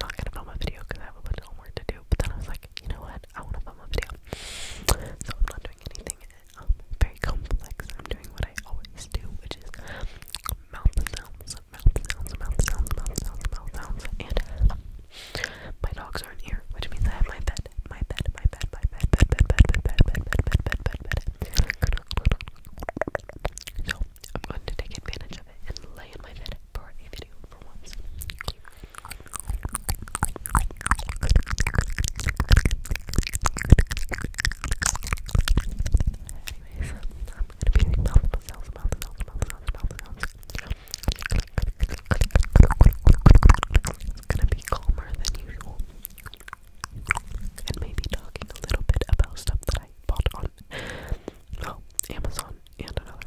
not gonna film a video because I have a bunch of homework to do. But then I was like, you know what? I want to film a video, so I'm not doing anything um, very complex. I'm doing what I always do, which is mouth sounds, mouth sounds, mouth sounds, mouth sounds, mouth sounds, and my dogs aren't here, which means I have my bed, my bed, my bed, my bed, bed, bed, bed, bed, bed, bed, bed, bed, bed. So I'm going to take advantage of it and lay in my bed for a um, It's gonna be calmer than usual. And maybe talking a little bit about stuff that I bought on oh, Amazon and another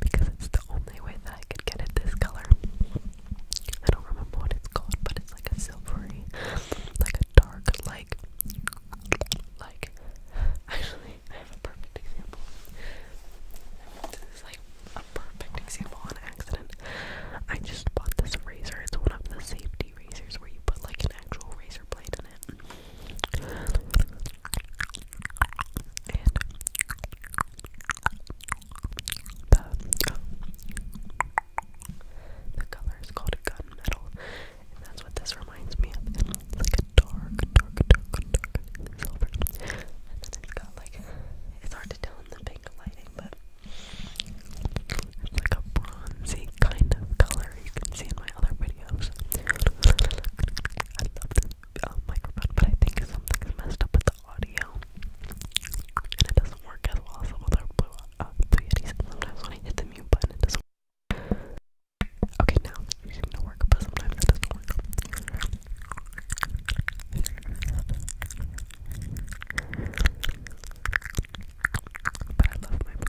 because it's the only way that I could get it this color. I don't remember what it's called, but it's like a silvery, like a dark, like, like, actually, I have a perfect example. This is like a perfect example on accident. I just bought this razor. It's one of the safety razors where you put like an actual razor blade in it the color is called gunmetal, and that's what this reminds me of. It's like a dark, dark, dark, dark silver, and then it's got like it's hard to tell in the pink lighting, but it's like a bronzy kind of color. You can see in my other videos. uh, but I think something's messed up with the audio, and it doesn't work as well as other blue, uh, Sometimes when I hit the mute button, it doesn't Okay, now it seems to work, but sometimes it doesn't work. But I love my blue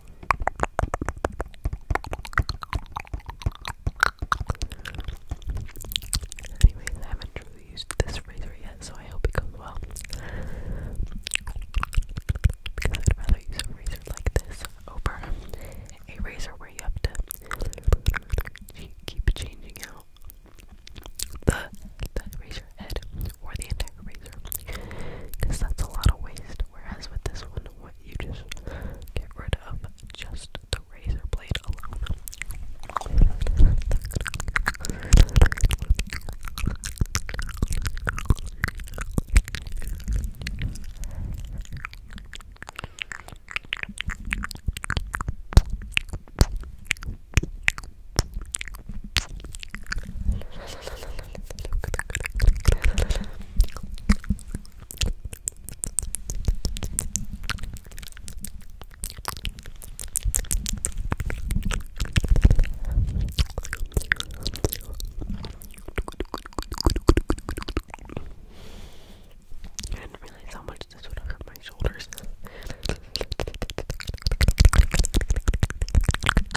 Anyways, I haven't truly used this razor yet, so I hope it goes well. Because I'd rather use a razor like this over a razor where you have to keep changing out the, razor head or the entire razor because that's a lot of waste whereas with this one what you just get rid of just the razor blade alone I didn't realize how much this would hurt my shoulders.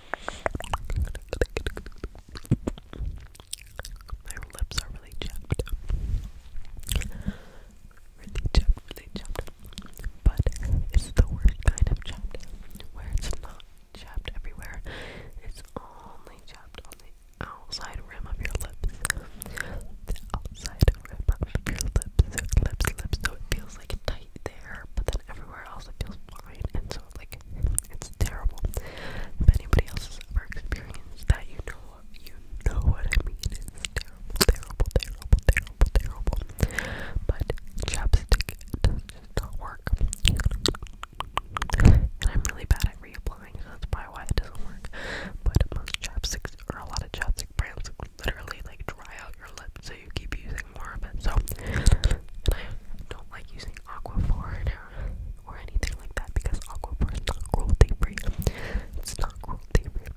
My lips are really chapped. Really chapped, really chapped. But it's the worst kind of chapped where it's not chapped everywhere. It's only chapped on the outside rim of your lips. The outside rim of your lips. Lips, lips, so it feels like it tight there, but then everywhere else it feels fine, and so like it's terrible. If anybody else has ever experienced that, you know you know what I mean. It's terrible, terrible, terrible, terrible, terrible. But chapstick does just not work, and I'm really bad at reapplying, so that's probably why it doesn't work. But most chapsticks or a lot of chapstick brands literally like dry out your lips so you keep using more of it. So I don't like using Aquaphor or anything like that because Aquaphor is not cruelty free. It's not cruelty free.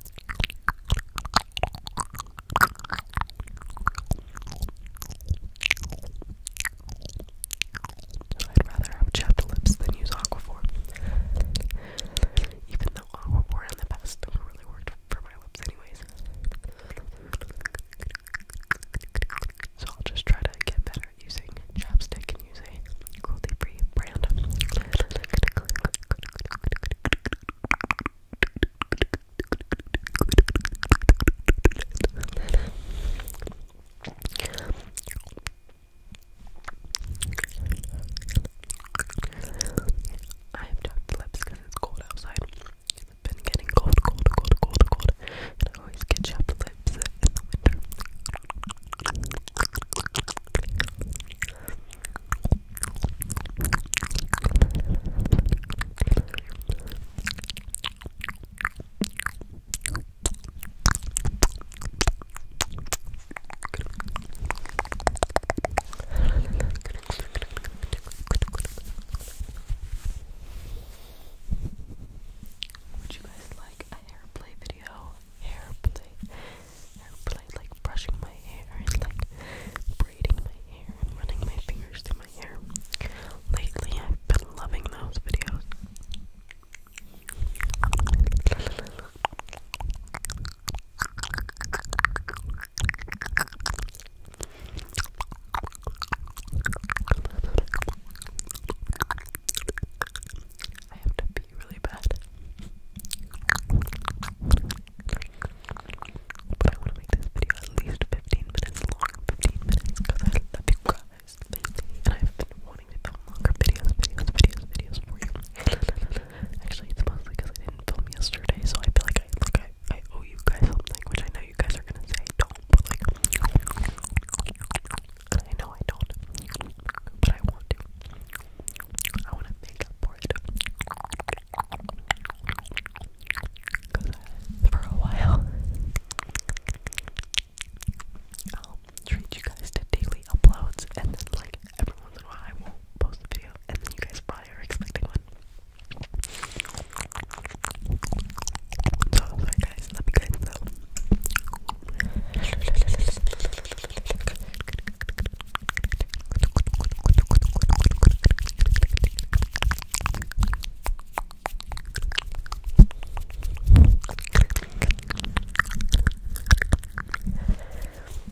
I'd rather have chapped lips than use Aquaphor. Even though Aquaphor in the past never really worked for so I'll just try to get better at using chapstick and using a cruelty-free brand. I have chapped lips because it's cold outside. It's been getting cold, cold, cold, cold, cold. And I always get chapped lips in the winter. Would you guys like a hair play video? Hair play, hair play, like brushing my hair like braiding my hair and running my fingers through my hair. Lately, I've been loving those videos. I have to pee really bad. But I want to make this video at least 15 minutes long. 15 minutes because I love you guys. And I've been wanting to film longer videos, videos, videos, videos for you. Actually, it's mostly because I didn't film yesterday, so I feel like I like I, owe you guys something, which I know you guys are gonna say don't, but I know I don't, but I want to. I want to make up for it. Cause for a while, I'll treat you guys to daily uploads, and then like every once in a while I won't post the video, and then you guys probably are expecting one. So sorry guys, love you guys though. I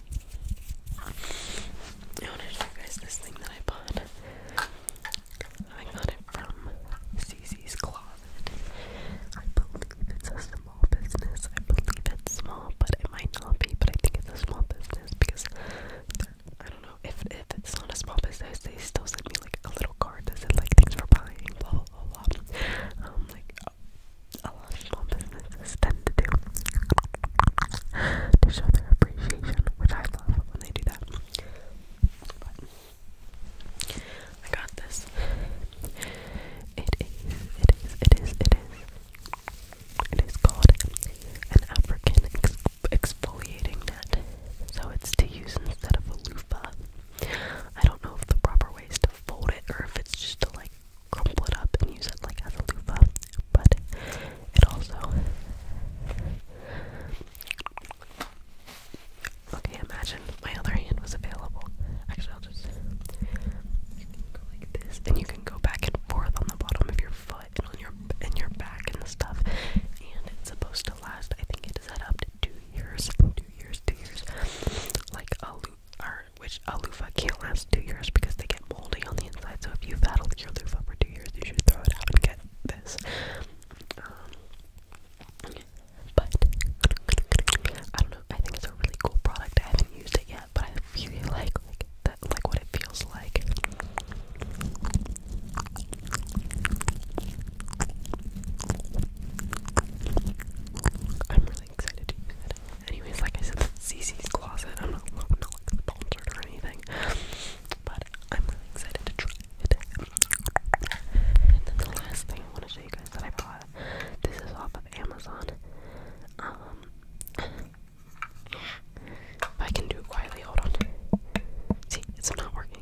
want to show you guys this thing that I bought. I got it from CC's Closet. I believe it's a small business. I believe it's small, but it might not be. But I think it's a small business because I don't know if if it's not a small business, they still send me like a little card that said like things for buying, blah blah. blah. Um, like a businesses tend to do to show their appreciation, which I love when they do that. I got this. It is, it is, it is, it is. It is called an African exfoliating net. So it's to use instead of a loofah. I don't know if the proper way is to fold it or if it's just to like crumple it up and use it like as a loofah, but it also. Okay, imagine my other hand was available. Actually, I'll just. go like this, and you can go back and forth on the bottom of your foot and on your and your back and stuff. And it's supposed to last. I think it is set up to two years, two years, two years, like a loop which a loofah can't last two years because they get moldy on the inside. So if you've had your loofah for two years, you should throw it out and get this. but I don't know. I think it's a really cool product. I haven't used it yet, but I really like like that, like what it feels like really excited to use it. Anyways, I said, CC's Closet. I'm not, not like sponsored or anything, but I'm really excited to try it. And then the last thing I want to show you guys that I bought. This is off of Amazon. Um, if I can do it quietly, hold on. See, it's not working.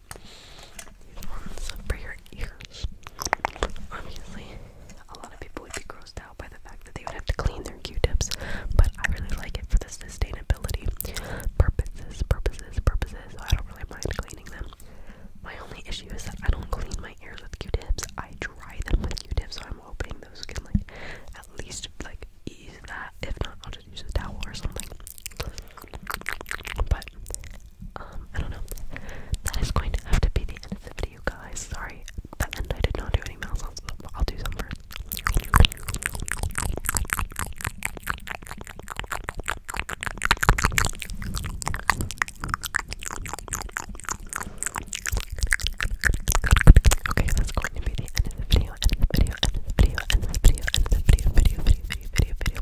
these ones for your ears. Obviously, a lot of people would be grossed out by the fact that they would have to clean their Q-tips, but I really like it for the sustainability purposes, purposes, purposes. So I don't really mind cleaning them. My only issue is that I don't clean my ears with Q-tips. I dry them with Q-tips, so I'm hoping those can like at least like ease that. If not, I'll just use a towel or something. But um, I don't know. That is going to have to be the end of the video, guys. Sorry, that end I did not do any mouth sounds. i I'll do some first. Okay, that's going to be the end of the video, end of the video, end of the video, end of the video, end of the video, video, video, video, video, video